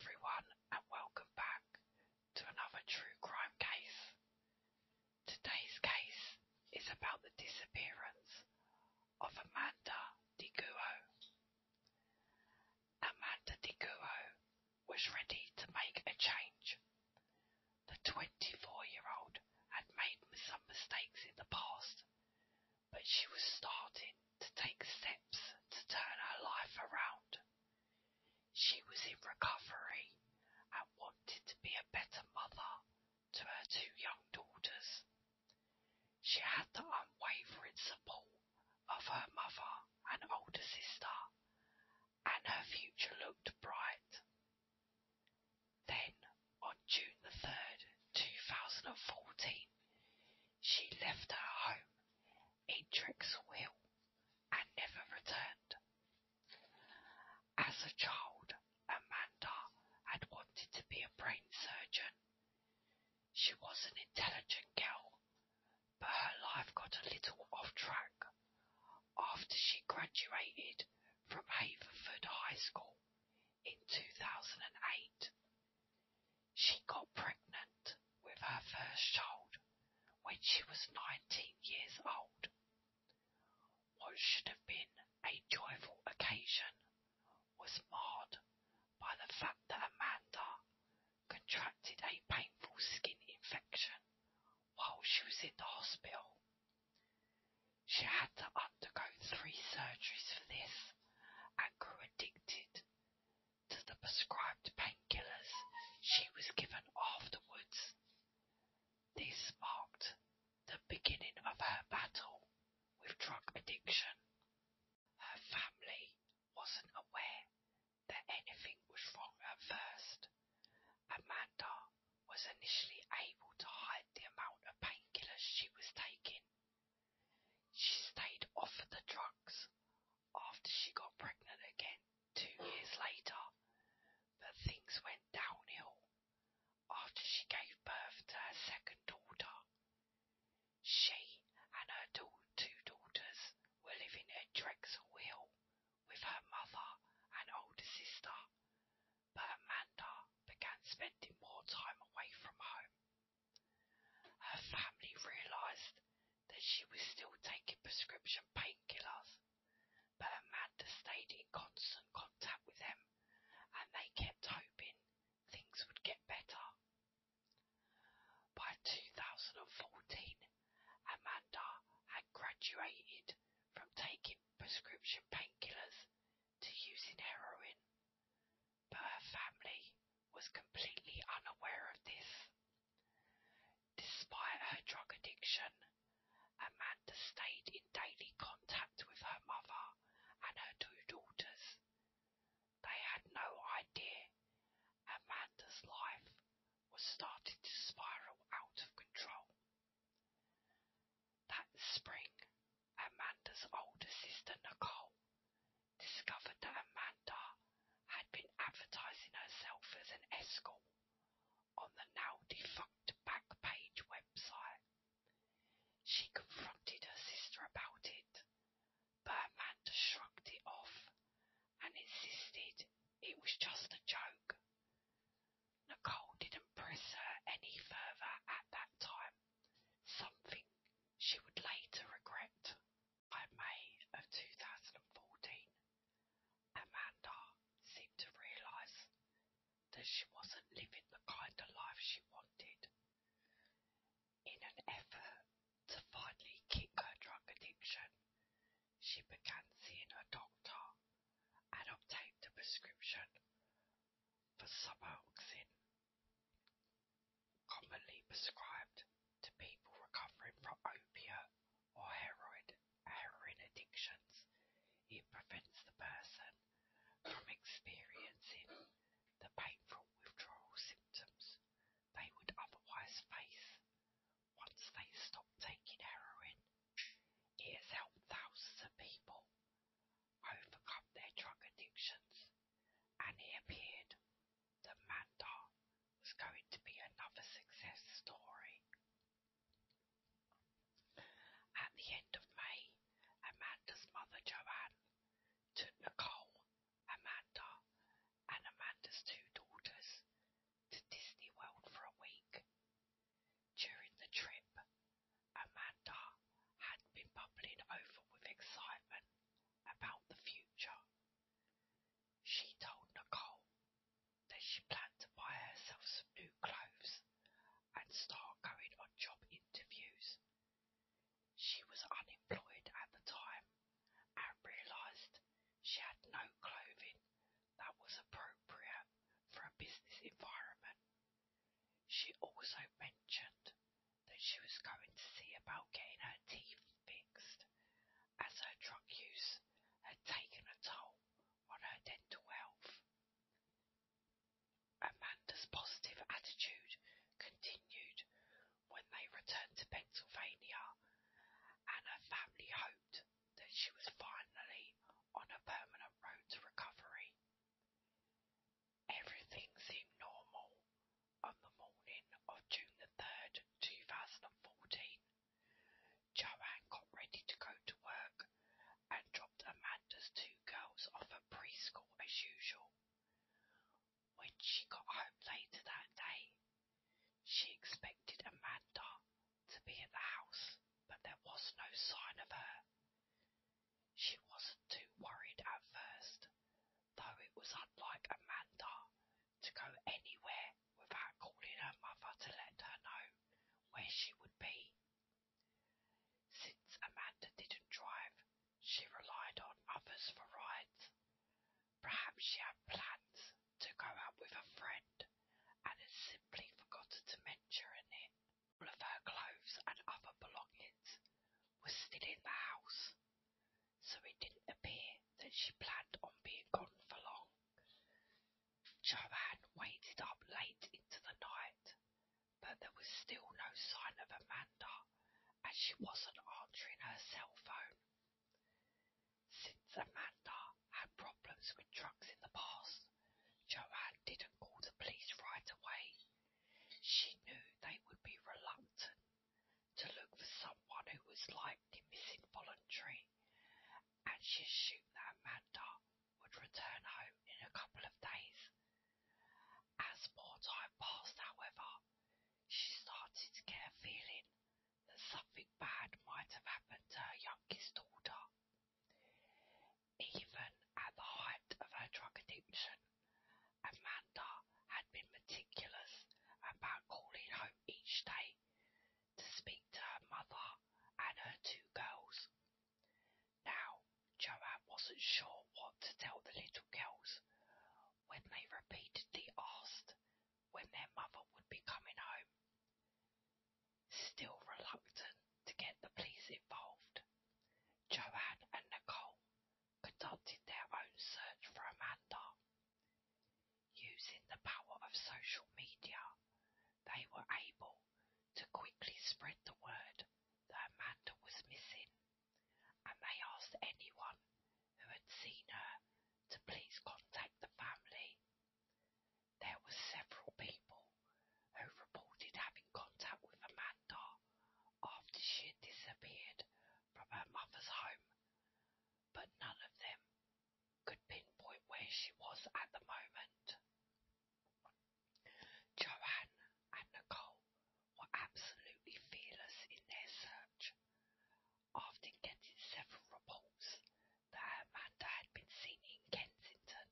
everyone, and welcome back to another true crime case. Today's case is about the disappearance of Amanda DiGuo. Amanda DiGuo was ready to make a change. The 24 year old had made some mistakes in the past, but she was starting to take steps to turn her life around. She was in recovery and wanted to be a better mother to her two young daughters. She had the unwavering support of her mother and older sister, and her future looked bright. Then, on June the 3rd, 2014, she left her home Edric's will and never returned. As a child, Amanda had wanted to be a brain surgeon. She was an intelligent girl, but her life got a little off track after she graduated from Haverford High School in 2008. She got pregnant with her first child when she was 19 years old. What should have been a joyful occasion was marred by the fact that Amanda contracted a painful skin infection while she was in the hospital. She had to undergo three surgeries for this and grew addicted to the prescribed painkillers she was given afterwards. This marked the beginning of her battle with drug addiction. Her family wasn't aware that anything was wrong at first. Amanda was initially able to hide the amount of painkillers she was taking she stayed off the drugs after she got pregnant again two years later, but things went downhill after she gave birth to her second daughter. She and her two daughters were living at Drexel Hill with her mother and older sister, but Amanda began spending more time away from home her family realised that she was still taking prescription painkillers, but Amanda stayed in constant contact with them and they kept hoping things would get better. By 2014, Amanda had graduated from taking prescription painkillers to using heroin, but her family was completely unaware of this. Despite her drug addiction, Amanda stayed in daily contact with her mother and her two daughters. They had no idea Amanda's life was starting to spiral out of control. That spring, Amanda's older sister Nicole discovered that Amanda had been advertising herself as an escort on the now defunct Backpage website. She confronted her sister about it, but Amanda shrugged it off and insisted it was just a joke. Nicole didn't press her any further at that time, something she would later regret. By May of 2014, Amanda seemed to realise that she wasn't living the kind of life she wanted. In an effort to finally kick her drug addiction, she began seeing her doctor and obtained a prescription for Suboxone Commonly prescribed to people recovering from opiate or heroin, heroin addictions, it prevents the person from experiencing the painful withdrawal symptoms they would otherwise face once they stop taking heroin. It has helped thousands of people overcome their drug addictions, and he appeared that Manda was going to be another success story. At the end of May, Amanda's mother Joanne took Nicole, Amanda, and Amanda's two daughters to Disney World for a week. During the trip, Amanda had been bubbling over with excitement about the future. She told Nicole that she planned to buy herself some new clothes and start going on job interviews. She was unemployed at the time and realised she had no clothing that was appropriate for a business environment. She also mentioned that she was going to see about getting her teeth fixed, as her drug use had taken a toll on her dental health. Amanda's positive attitude continued when they returned to Pennsylvania, and her family hoped that she was finally on a permanent road to recovery. Everything seemed normal on the morning of June the 3rd, 2014. Joanne got ready to go to work and dropped Amanda's two girls off at preschool as usual. When she got home later that day, she expected Amanda to be at the house, but there was no sign of her. She wasn't too worried at first, though it was unlike Amanda to go anywhere without calling her mother to let her know where she would be. Since Amanda didn't drive, she relied on others for rides. Perhaps she had plans to go out with a friend and had simply forgotten to mention it all of her clothes and other belongings were still in the house, so it didn't appear that she planned on being gone for long. Joanne waited up late into the night, but there was still no sign of Amanda, and she wasn't answering her cell phone. Since Amanda had problems with drugs in the past, Joanne didn't call the police right away she knew they would be reluctant to look for someone who was likely misinvoluntary, and she assumed that Amanda would return home in a couple of days. As more time passed, however, she started to get a feeling that something bad might have happened to her youngest daughter. Even at the height of her drug addiction, Amanda had been meticulous about calling home each day to speak to her mother and her two girls. Now, Joanne wasn't sure what to tell the little girls when they repeatedly asked when their mother would be coming home. Still reluctant to get the police involved. Joanne and Nicole conducted their own search for Amanda. Using the power of social media, they were able to quickly spread the word that Amanda was missing, and they asked anyone who had seen her to please contact the family. There were several people who reported having contact with Amanda after she had disappeared from her mother's home, but none of them could pinpoint where she was at the moment. Joanne and Nicole were absolutely fearless in their search, after getting several reports that Amanda had been seen in Kensington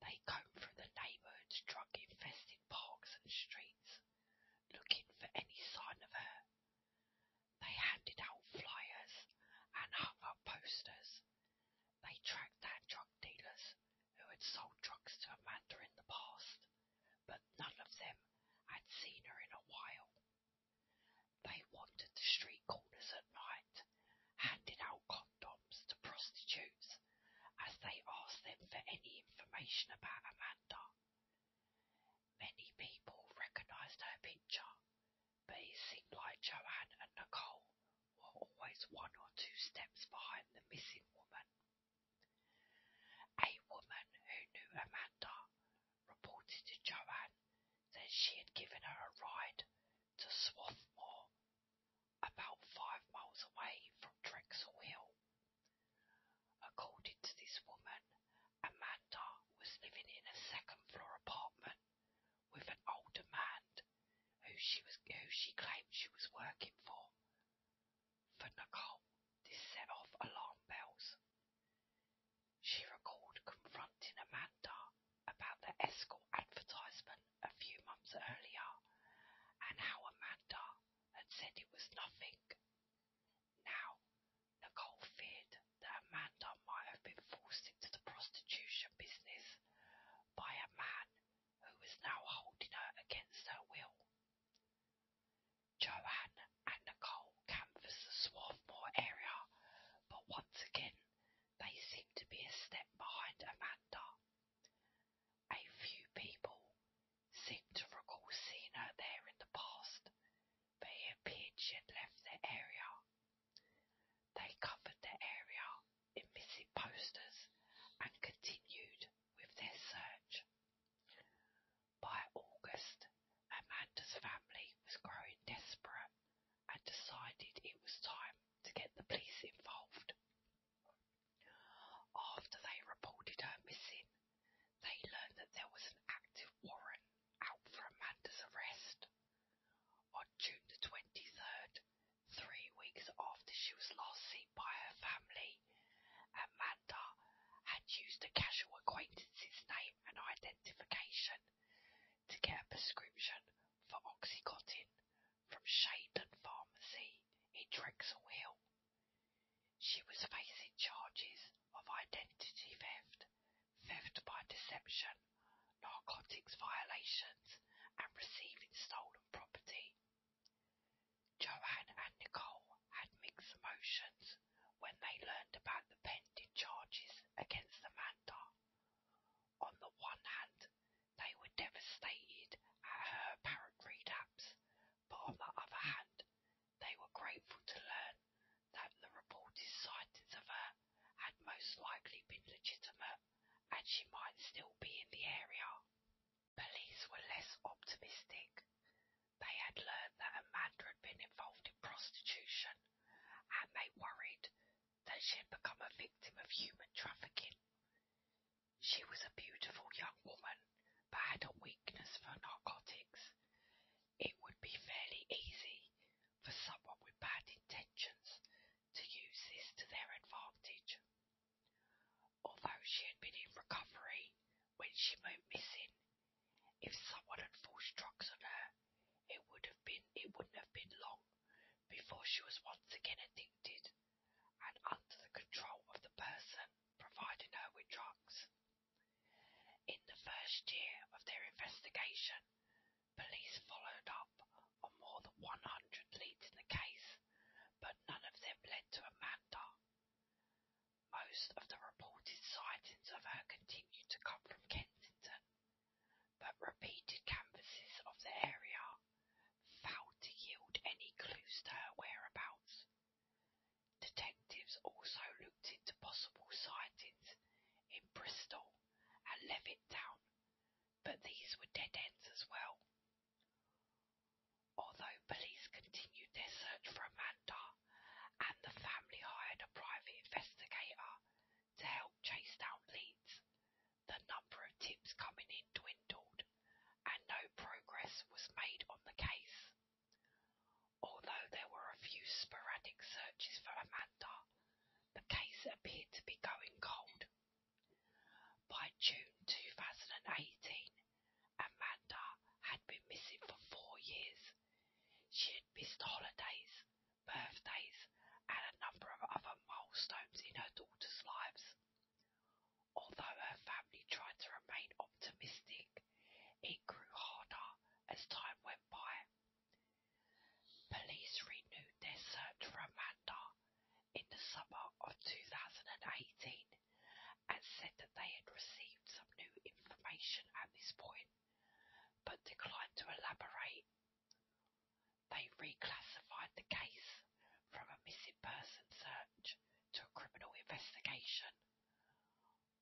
they comb through the neighbourhood's drug infested parks and streets, looking for any sign of her. They handed out flyers and hung up posters. They tracked down drug dealers who had sold drugs to Amanda in the past, but none of them had seen her in a while. They wandered the street corners at night, handed out condoms to prostitutes as they asked them for any information about Amanda. Many people recognised her picture, but it seemed like Joanne and Nicole were always one or two steps behind the missing woman. A woman who knew Amanda reported to Joanne that she had given her a ride to Swarthmore about five miles away from Drexel Hill. According to this woman, Amanda was living in a second floor apartment with an older man who she was who she claimed she was working for. For Nicole, this set off alarm bells. She recalled confronting Amanda about the escort advertisement accident a few months earlier, and how Amanda had said it was nothing. Now, Nicole feared that Amanda might have been forced into the prostitution business by a man who was now holding her against her will. Joanne and Nicole canvassed the Swarthmore area, but once again they seemed to be a step behind Amanda a few people seemed to recall seeing her there in the past, but it appeared she had left the area. They covered the area in missing posters and continued with their search. By August, Amanda's family was growing desperate and decided it was time to get the police involved. After they reported her missing, they learned that there was an active warrant out for Amanda's arrest. On June the 23rd, three weeks after she was last seen by her family, Amanda had used a casual acquaintance's name and identification to get a prescription for Oxycontin from Shadon Pharmacy in Drexel Hill. She was facing charges of identity theft, theft by deception, narcotics violations, and receiving stolen property. Joanne and Nicole had mixed emotions when they learned about the pending charges against Amanda. On the one hand, they were devastated at her apparent relapse, but on the other hand, they were grateful to learn that the reported sightings of her had most likely been legitimate and she might still be in the area. Police were less optimistic. They had learned that Amanda had been involved in prostitution, and they worried that she had become a victim of human trafficking. She was a beautiful young woman, but had a weakness for narcotics. It would be fairly easy for someone with bad intentions to use this to their advantage. Although she had been in recovery when she went missing, if someone had forced drugs on her, it would have been it wouldn't have been long before she was once again addicted addicted and under the control of the person providing her with drugs. In the first year of their investigation, police followed up on more than 100 leads in the case, but none of them led to Amanda. Most of the reported sightings of her continued to come from Kensington but repeated canvasses of the area failed to yield any clues to her whereabouts. Detectives also looked into possible sightings in Bristol and Levittown, but these were dead ends as well. Although police continued their search for Amanda and the family hired a private investigator to help chase down leads, the number of tips coming in dwindled, and no progress was made on the case. Although there were a few sporadic searches for Amanda, the case appeared to be going cold. By June 2018, Amanda had been missing for four years. She had missed holidays, birthdays, and a number of other milestones in her daughters' lives. Although her family tried to remain optimistic, it grew harder as time went by. Police renewed their search for Amanda in the summer of 2018 and said that they had received some new information at this point, but declined to elaborate they reclassified the case from a missing person search to a criminal investigation.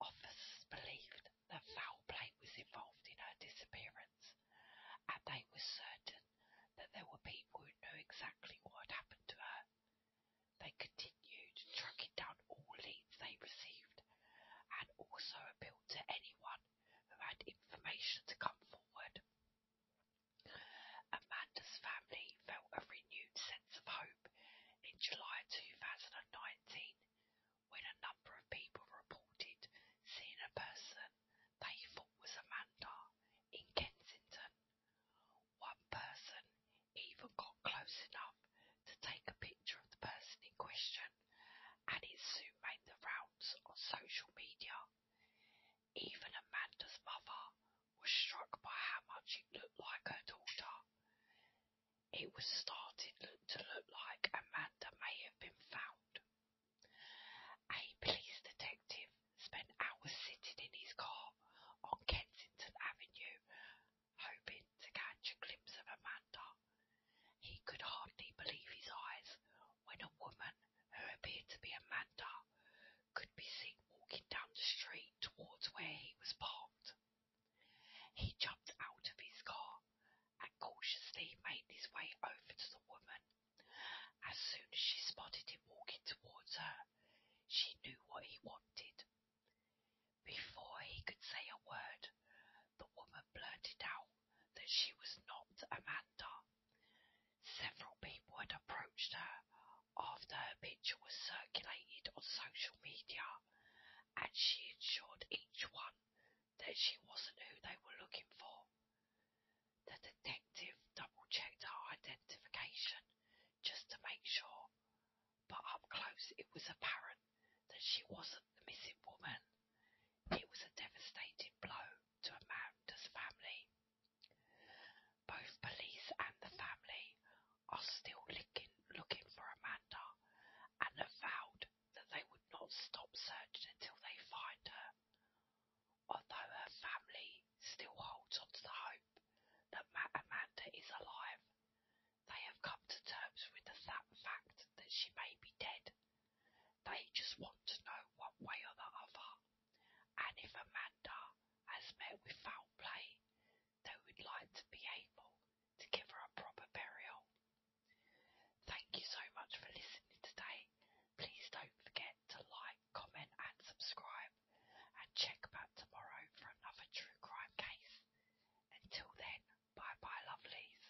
Officers believed that foul play was involved in her disappearance, and they were certain that there were people who knew exactly what had happened to her. They continued tracking down all leads they received and also appealed to anyone who had information to come forward. Amanda's family felt a renewed sense of hope in July 2019 when a number of people reported seeing a person they thought was Amanda in Kensington. One person even got close enough to take a picture of the person in question, and it soon made the rounds on social media even Amanda's mother was struck by how much it looked like her daughter. It was starting to look like Amanda may have been found. A police detective spent hours sitting in his car on Kensington Avenue, hoping to catch a glimpse of Amanda he could hardly believe his eyes when a woman who appeared to be Amanda could be seen walking down the street towards where he was parked. He jumped out of his car and cautiously made his way over to the woman. As soon as she spotted him walking towards her, she knew what he wanted. Before he could say a word, the woman blurted out that she was not Amanda. Several people had approached her after her picture was circulated on social media, and she assured each one that she wasn't who they were looking for. The detective double checked her identification just to make sure, but up close it was apparent that she wasn't the missing woman. It was a devastating blow to Amanda's family. Both police and the family are still looking, for Amanda and have vowed that they would not stop searching until they find her. Although her family still holds onto the hope that Ma- Amanda is alive, they have come to terms with the sad fact that she may be dead they just want to know one way or the other. And if Amanda has met with foul play, they would like to be able to give her a proper burial. Thank you so much for listening today. Please don't forget to like, comment, and subscribe. And check back tomorrow for another true crime case. Until then, bye bye, lovelies.